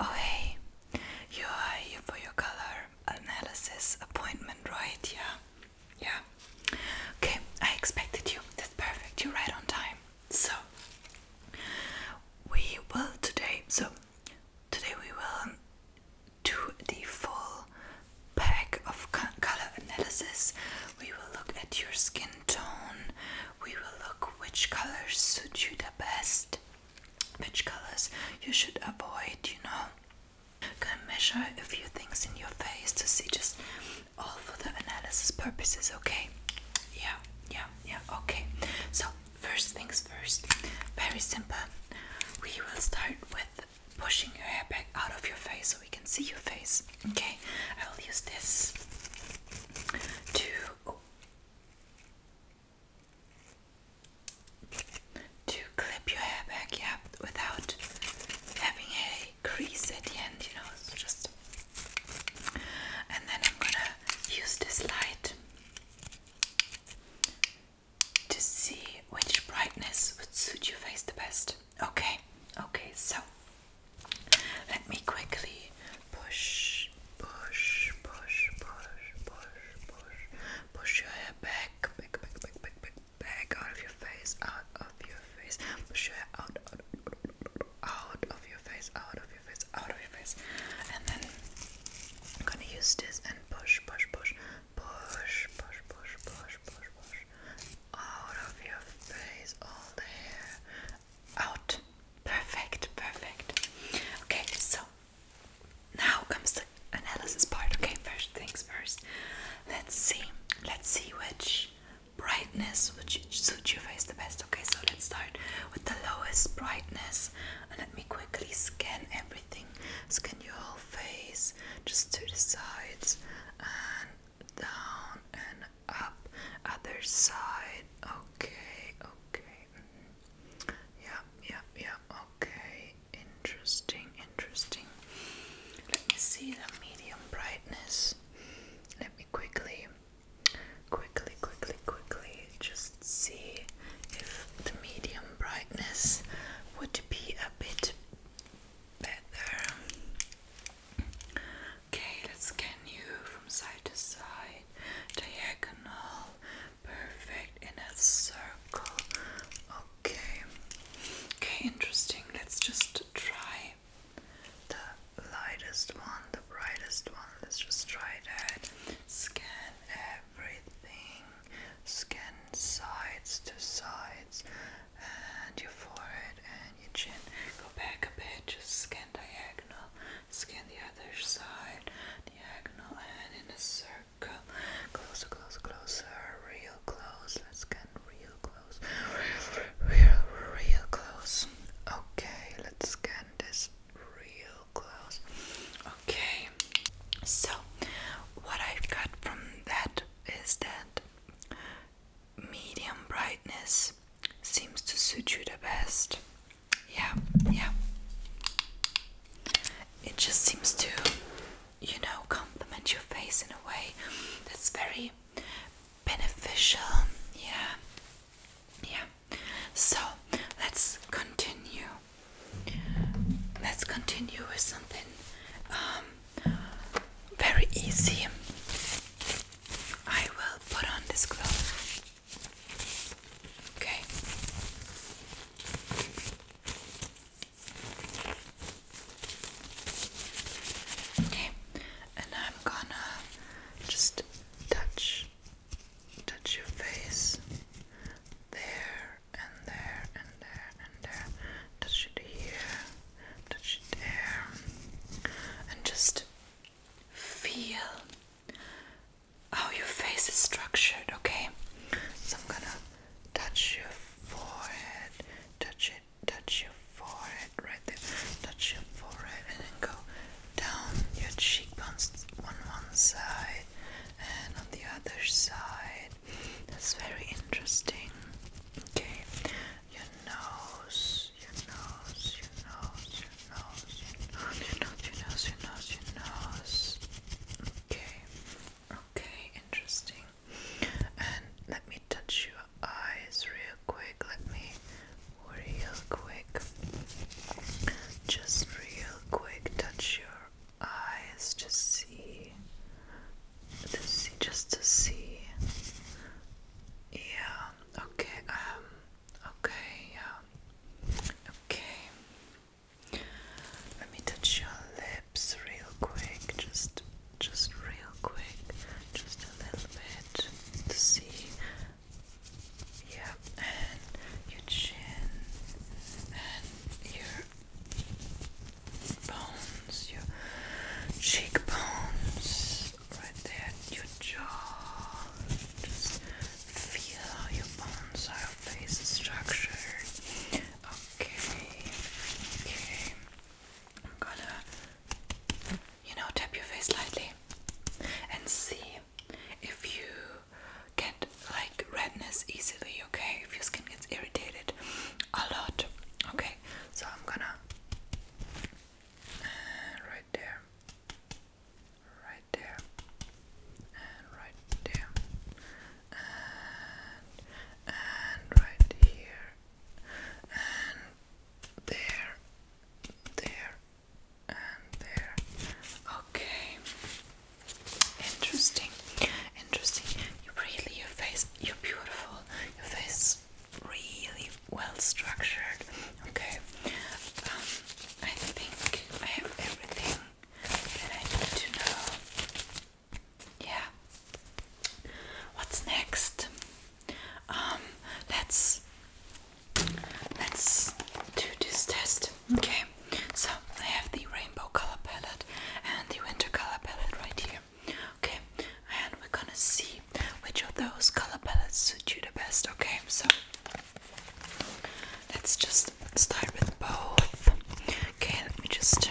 Oh hey, you are here for your color analysis appointment, right? Yeah, yeah. Okay, I expected you. That's perfect. You're right on time. So we will today. So today we will do the full pack of color analysis. We will look at your skin tone. We will look which colors suit you the best which colors you should avoid, you know. Go and measure a few things in your face to see just all for the analysis purposes, okay? Yeah, yeah, yeah, okay. So, first things first, very simple. We will start with pushing your hair back out of your face so we can see your face, okay? I will use this to to clip your hair back, yeah, without having a crease at the end, you know, it's just. And then I'm gonna use this light to see which brightness would suit your face the best. Okay, okay, so let me quickly Push, push, push, push, push, push. Push your hair back, back, back, back, back, back, back out of your face, out of your face. Push your hair out, out, out of your face, out of your face, out of your face. And then I'm gonna use this and push, push, push, push, push, push, push, push, push. Out of your face, all the hair. Out. Perfect, perfect. Okay, so now comes the analysis part. Okay, first things first. Let's see. Let's see which brightness would suit your face the best. Okay, so let's start with the lowest brightness. And let me quickly scan everything. Scan your whole face, just to the sides and down and up. Other side. Okay, okay. Mm-hmm. Yeah, yeah, yeah. Okay. Interesting, interesting. Let me see the medium brightness. Let me quickly, quickly, quickly, quickly just see if the medium brightness would be a bit better. Okay, let's scan you from side to side diagonal perfect in a circle okay okay interesting let's just try the lightest one the brightest one let's just try that scan everything scan sides to sides and your forehead and your chin go back a bit just scan diagonal Scan the other side, diagonal and in a circle. Closer, closer, closer, real close. Let's get real close, real, real close. Okay, let's scan this real close. Okay, so what I've got from that is that medium brightness seems to suit you the best yeah, yeah. It just seems to, you know, complement your face in a way that's very beneficial. Yeah, yeah. So let's continue. Let's continue with something um, very easy. I will put on this glove. Okay. Okay, and I'm gonna just touch touch your face there and there and there and there. Touch it here, touch it there, and just feel how oh, your face is structured, okay? So I'm gonna touch your forehead, touch it, touch your forehead right there, touch your forehead, and then go down your cheekbones on one side and on the other side. That's very interesting. Okay, your nose, your nose, your nose, nose, your nose, your nose, your nose, your nose. Okay, okay, interesting. And let me touch your eyes real quick. Let me real quick. Just real quick touch your eyes to see. To see just to see. Yeah, okay, um okay, yeah. Okay. Let me touch your lips real quick. Just just real quick. Just a little bit to see. Yep, and your chin and your bones, your cheekbones, right there, your jaw. Just feel how your bones, how your face is structured. Okay, okay. I'm gonna, you know, tap your face lightly and see if you get like redness easily, okay? If your skin gets irritated a lot, okay? So I'm gonna uh, right there right there, and right there, and, and right here, and there, there, and there. Okay, interesting, interesting. You really, your face, you're beautiful, your face really well structured Okay. Um, I think I have everything that I need to know. Yeah. What's next? Um, let's let's do this test. Okay. So I have the rainbow color palette and the winter color palette right here. Okay, and we're gonna see which of those color palettes suit you the best. Okay, so Let's just start with both. Okay, let me just.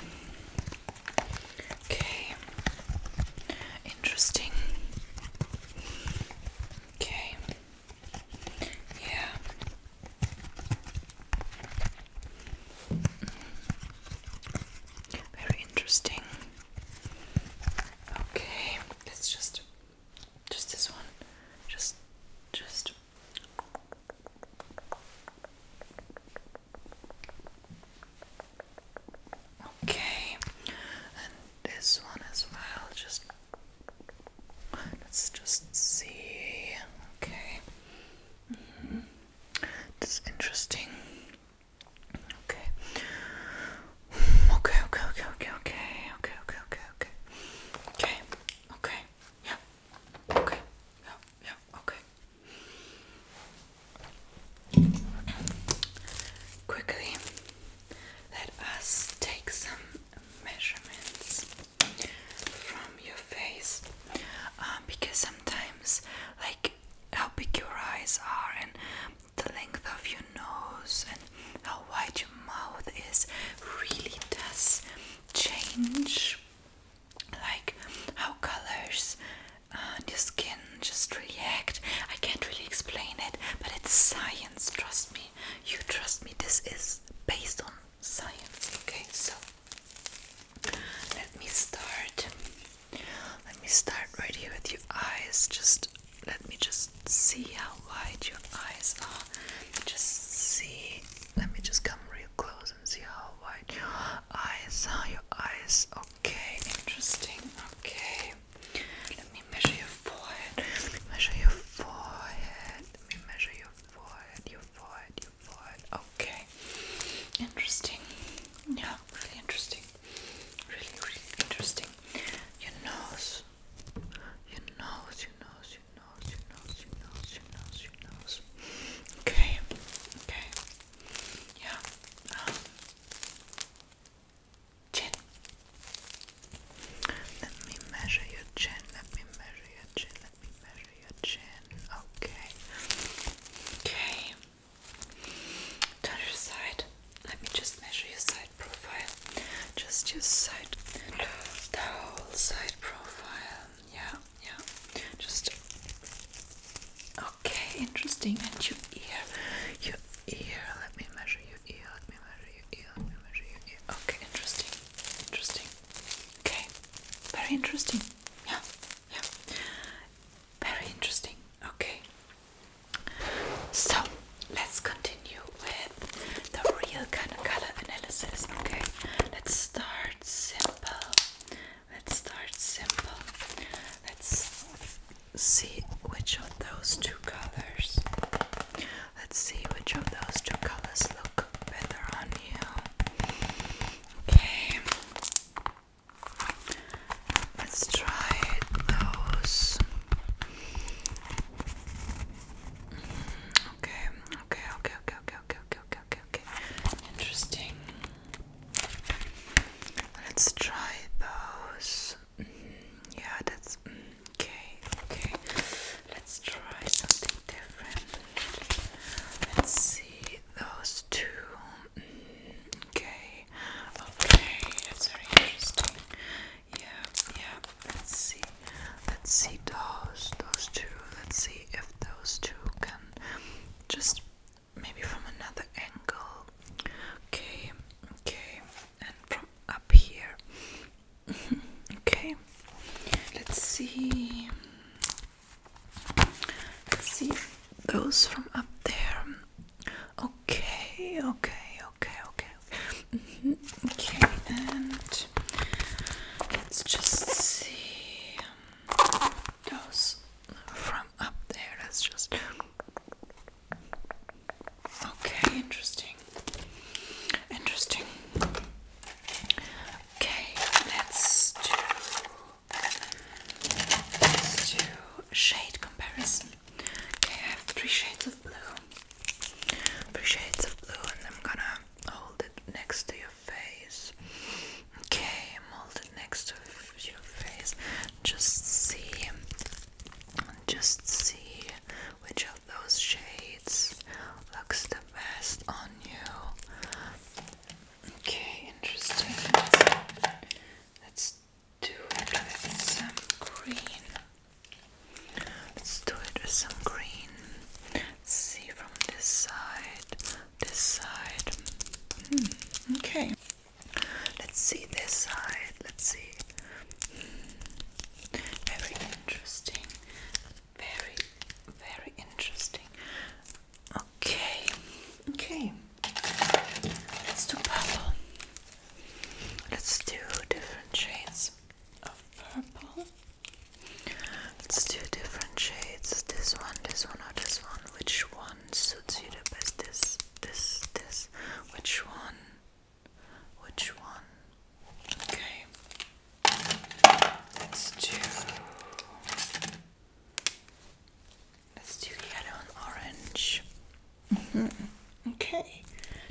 Okay. Interesting. Okay. Yeah. Very interesting. Okay, let's just just this one. Just, just. Okay, and this one as well. Just let's just see. Okay, mm -hmm. interesting. Okay, Okay, okay, okay, okay, okay, okay, okay, okay, okay. Okay, okay, yeah. Okay, yeah, yeah, okay. Quickly, let us take some measurements from your face um, because sometimes, like how big your eyes are and the length of your nose and how wide your mouth is really does change like how colors and uh, your skin just react. I can't really explain it, but it's science, trust me. You trust me, this is based on science. Okay, so let me start. Let me start right here with your eyes. Just let me just see how wide your eyes are. Just see. Let me just come real close and see how wide your eyes are. Your eyes. Okay, interesting. Okay. Let me measure your forehead. Let me measure your forehead. Let me measure your forehead. Your forehead. Your forehead. Okay. Interesting. Yeah, really interesting. Really, really interesting. Your nose. Your nose, your nose, your nose, your nose, your nose, your nose, your nose. Okay, okay. Yeah. Um, chin. Let me measure your chin. Let me measure your chin. Let me measure your chin. Okay. Okay. Turn your side. Let me just measure your side profile. Just your side, the whole side profile. Yeah, yeah. Just okay. Interesting. And your ear, your ear. Let me measure your ear. Let me measure your ear. Let me measure your ear. Okay. Interesting. Interesting. Okay. Very interesting. Yeah. Yeah. Very interesting. Okay. So let's continue with the real kind of color analysis. Okay, let's start simple. Let's start simple. Let's see which of those two colors. Let's see which of those two colors look better on you. Okay. Let's try those Okay, okay, okay, okay, okay, okay, okay, okay, okay, Interesting. Let's try those. Mm-hmm. yeah, that's mm, okay, okay. Let's try something different. Let's see those two. Mm-hmm. okay, okay, that's interesting. Yeah, yeah. Let's see. Let's see those those two. Let's see if those two can just maybe from another angle. Okay, okay, and from up here. okay. Let's see. Let's see those from up there. Okay, okay, okay, okay. Mm-hmm. Okay, and let's just see um, from up there. Let's just. Okay, interesting. Interesting. Okay, let's do. Let's do shade comparison. Okay, I have three shades of blue. Three shades of blue, and I'm gonna hold it next to your face. Okay, hold it next to your face. Just see, just see which of those shades looks the best on you. Okay, interesting. Let's do it with some green. Let's do it with some green. Let's see from this side, this side. Hmm, okay. Let's see this side. Let's see. Hmm, very interesting. Very, very interesting. Okay. Okay. Let's do purple. Let's do different shades of purple. Let's different shades. This one, this one, or this one. Which one suits you the best? This, this, this. Which one? Which one? Okay. Let's do. Let's do yellow and orange. Mm-hmm. Okay,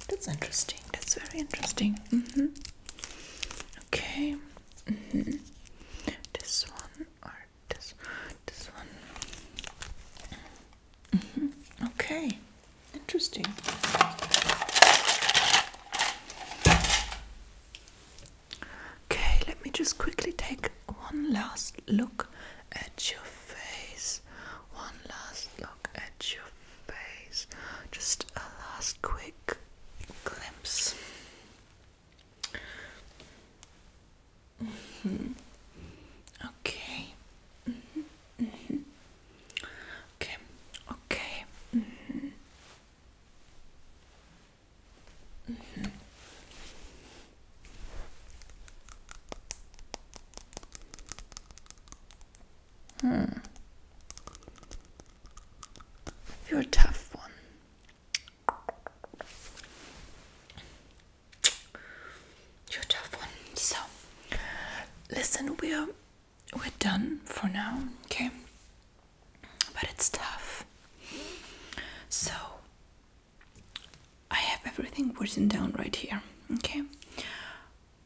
that's interesting. That's very interesting. Mm-hmm. Okay, mm-hmm. this one or this, this one. Okay, interesting. Okay, let me just quickly take one last look at your face. One last look look at your face. Just a last quick glimpse. Mm-hmm. Okay. Mm-hmm. Okay. Okay. Mm-hmm. Hmm. You're a tough one. You're a tough one. So, listen, we're we're done for now, okay? But it's tough. So, I have everything written down right here, okay?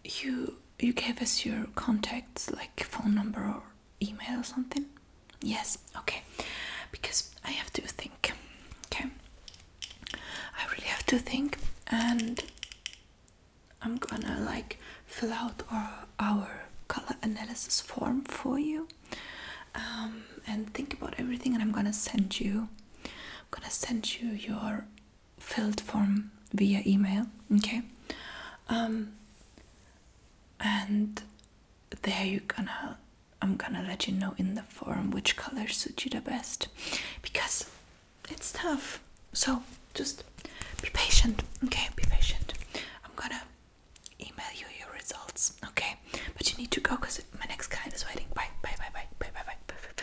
you you gave us your contacts, like phone number or email or something. Yes, okay. Because I have to think. Okay. I really have to think, and I'm gonna like fill out our our color analysis form for you, um, and think about everything. And I'm gonna send you. I'm gonna send you your filled form via email okay um, and there you're gonna i'm gonna let you know in the form which color suits you the best because it's tough so just be patient okay be patient i'm gonna email you your results okay but you need to go because my next client is waiting bye bye bye bye bye bye bye, bye, bye.